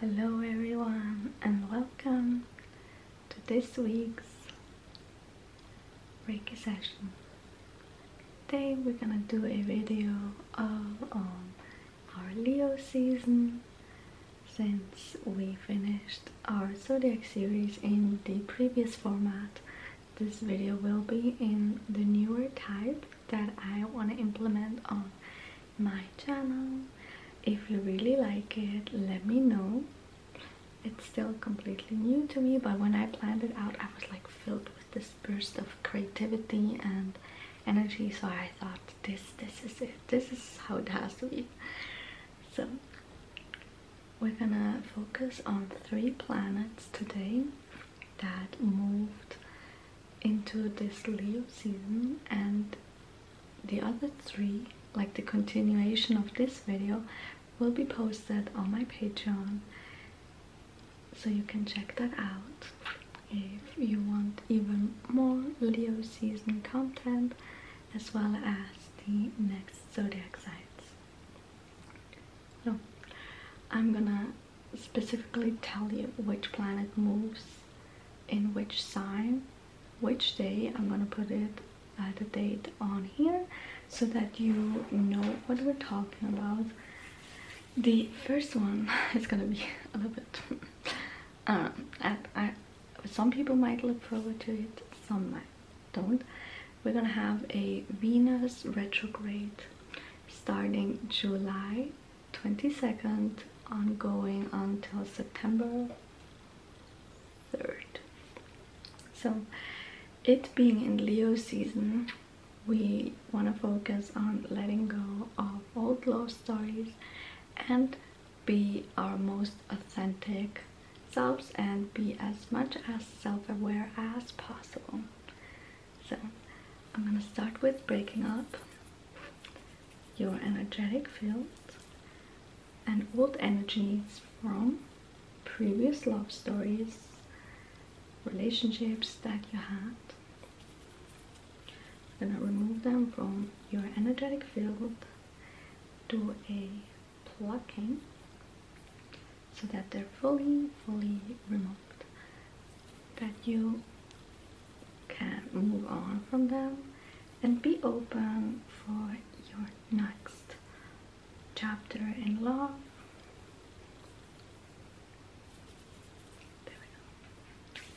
Hello everyone and welcome to this week's Reiki session. Today we're gonna do a video all on um, our Leo season since we finished our zodiac series in the previous format. This video will be in the newer type that I want to implement on my channel. If you really like it, let me know. It's still completely new to me, but when I planned it out, I was like filled with this burst of creativity and energy. So I thought, this, this is it. This is how it has to be. So we're gonna focus on three planets today that moved into this Leo season and the other three, like the continuation of this video, will be posted on my Patreon. So you can check that out if you want even more Leo season content as well as the next zodiac signs. So I'm gonna specifically tell you which planet moves in which sign which day i'm gonna put it uh, the date on here so that you know what we're talking about the first one is gonna be a little bit uh, some people might look forward to it some might don't we're gonna have a venus retrograde starting july 22nd ongoing until September 3rd. So it being in Leo season, we want to focus on letting go of old love stories and be our most authentic selves and be as much as self-aware as possible. So I'm gonna start with breaking up your energetic field and old energies from previous love stories, relationships that you had. I'm gonna remove them from your energetic field, do a plucking so that they're fully, fully removed that you can move on from them and be open for your next chapter in love. There we go.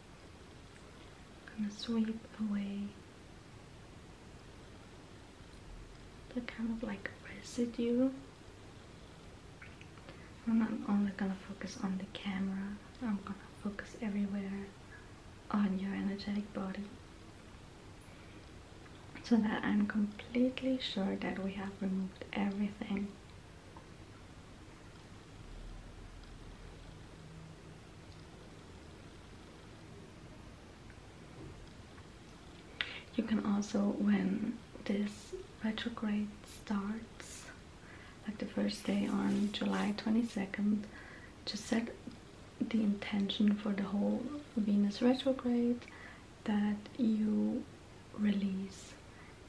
I'm going to sweep away the kind of like residue and I'm only gonna focus on the camera I'm gonna focus everywhere on your energetic body so that I'm completely sure that we have removed everything you can also, when this retrograde starts, like the first day on July 22nd, to set the intention for the whole Venus retrograde that you release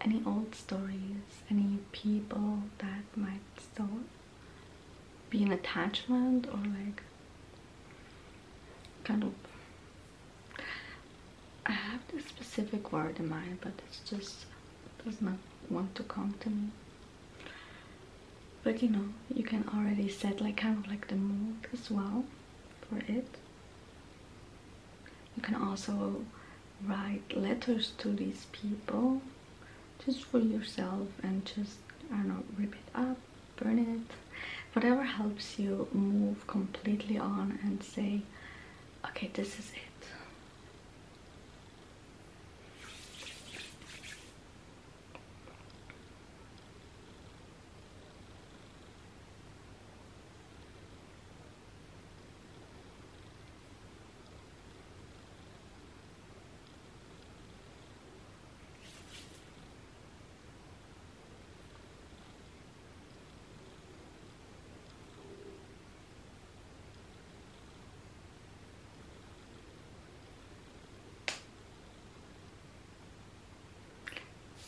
any old stories, any people that might still be an attachment or like kind of I have this specific word in mind but it's just does not want to come to me but you know you can already set like kind of like the mood as well for it you can also write letters to these people just for yourself and just, I know, rip it up, burn it, whatever helps you move completely on and say, okay, this is it.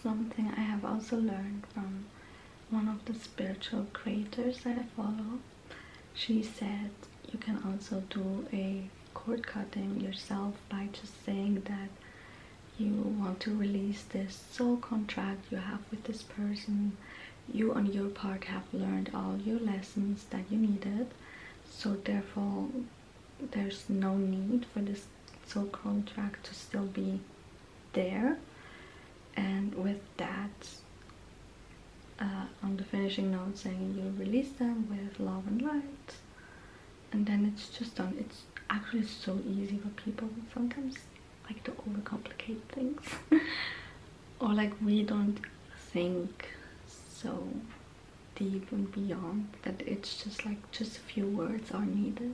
Something I have also learned from one of the spiritual creators that I follow, she said you can also do a court cutting yourself by just saying that you want to release this soul contract you have with this person. You, on your part, have learned all your lessons that you needed, so therefore, there's no need for this soul contract to still be there and with that uh, on the finishing note saying you release them with love and light and then it's just done it's actually so easy for people sometimes like to overcomplicate things or like we don't think so deep and beyond that it's just like just a few words are needed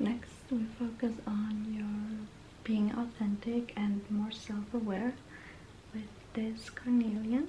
Next, we focus on your being authentic and more self-aware with this carnelian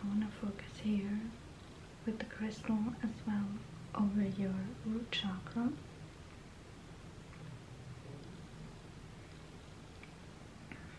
I want to focus here with the crystal as well over your root chakra.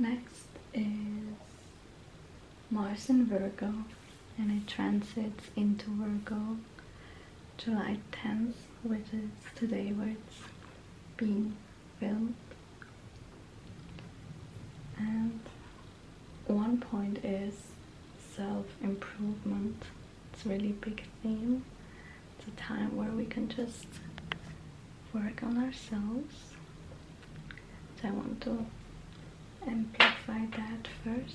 Next is Mars in Virgo and it transits into Virgo July 10th, which is today where it's being filmed. And one point is self-improvement. It's a really big theme. It's a time where we can just work on ourselves. So I want to amplify that first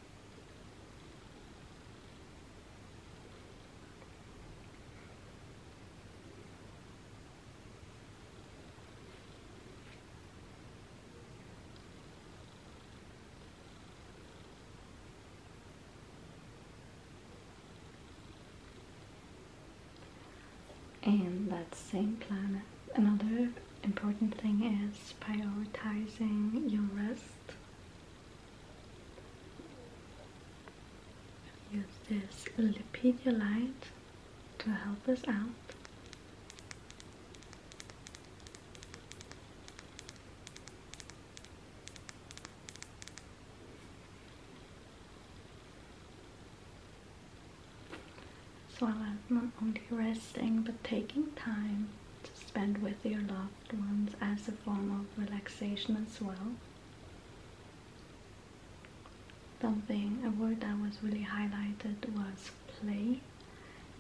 And that same planet another important thing is prioritizing your rest. Use this Lipidolite to help us out. So I'm not only resting but taking time to spend with your loved ones as a form of relaxation as well. Something, a word that was really highlighted was play.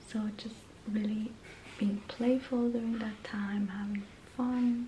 So just really being playful during that time, having fun.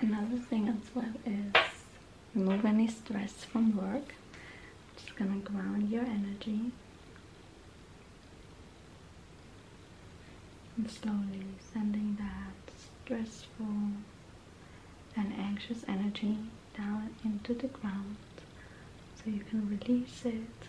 Another thing as well is remove any stress from work. Just gonna ground your energy and slowly sending that stressful and anxious energy down into the ground so you can release it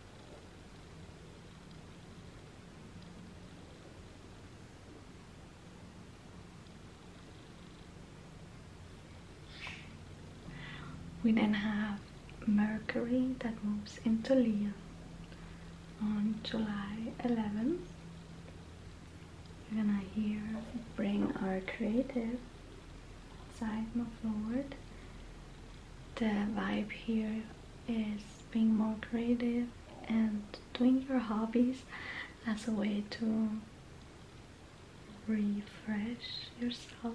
We then have Mercury that moves into Leo on July 11th. We're gonna here bring our creative side forward. The vibe here is being more creative and doing your hobbies as a way to refresh yourself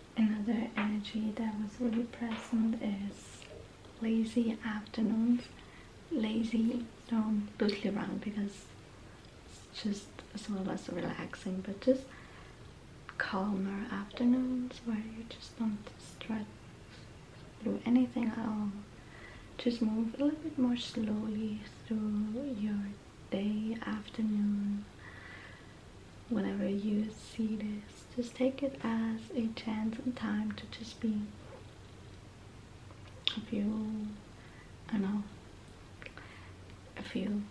Another energy that was really present is lazy afternoons, lazy don't doodly around because it's just a little less relaxing, but just calmer afternoons where you just don't stretch, do anything at all. Just move a little bit more slowly through your day, afternoon, whenever you see this, just take it as a chance and time to just be. a few, I know, if you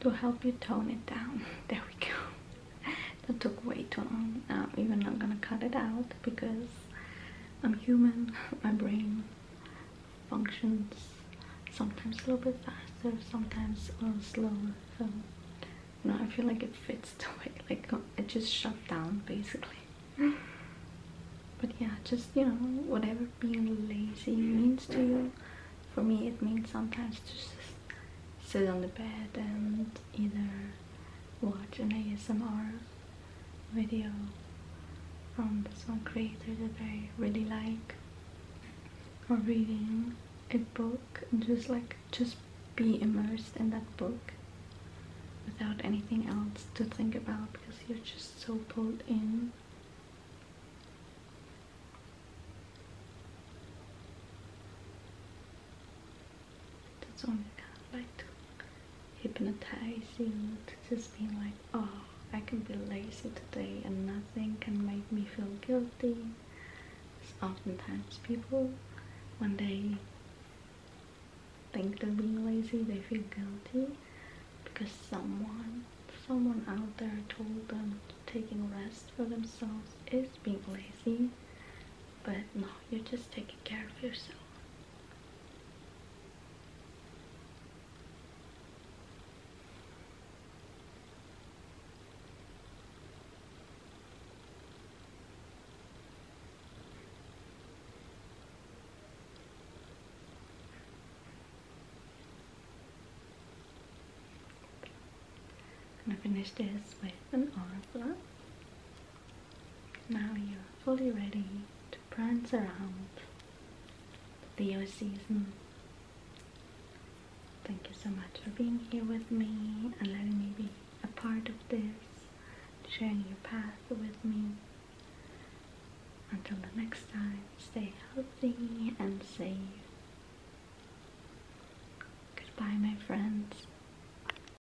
to help you tone it down. There we go. That took way too long. I'm even not gonna cut it out because I'm human, my brain functions sometimes a little bit faster, sometimes a little slower. So, you I feel like it fits the way, like it just shut down basically. but yeah, just you know, whatever being lazy means to you. For me, it means sometimes just sit on the bed and either watch an ASMR video from some creator that I really like or reading a book and just like just be immersed in that book without anything else to think about because you're just so pulled in that's only kind of like hypnotizing to just being like, oh, I can be lazy today and nothing can make me feel guilty. Because oftentimes people, when they think they're being lazy, they feel guilty because someone, someone out there told them taking rest for themselves is being lazy. But no, you're just taking care of yourself. I'm going to finish this with an aura now you are fully ready to prance around the season. Thank you so much for being here with me and letting me be a part of this, sharing your path with me. Until the next time, stay healthy and safe. Goodbye, my friends.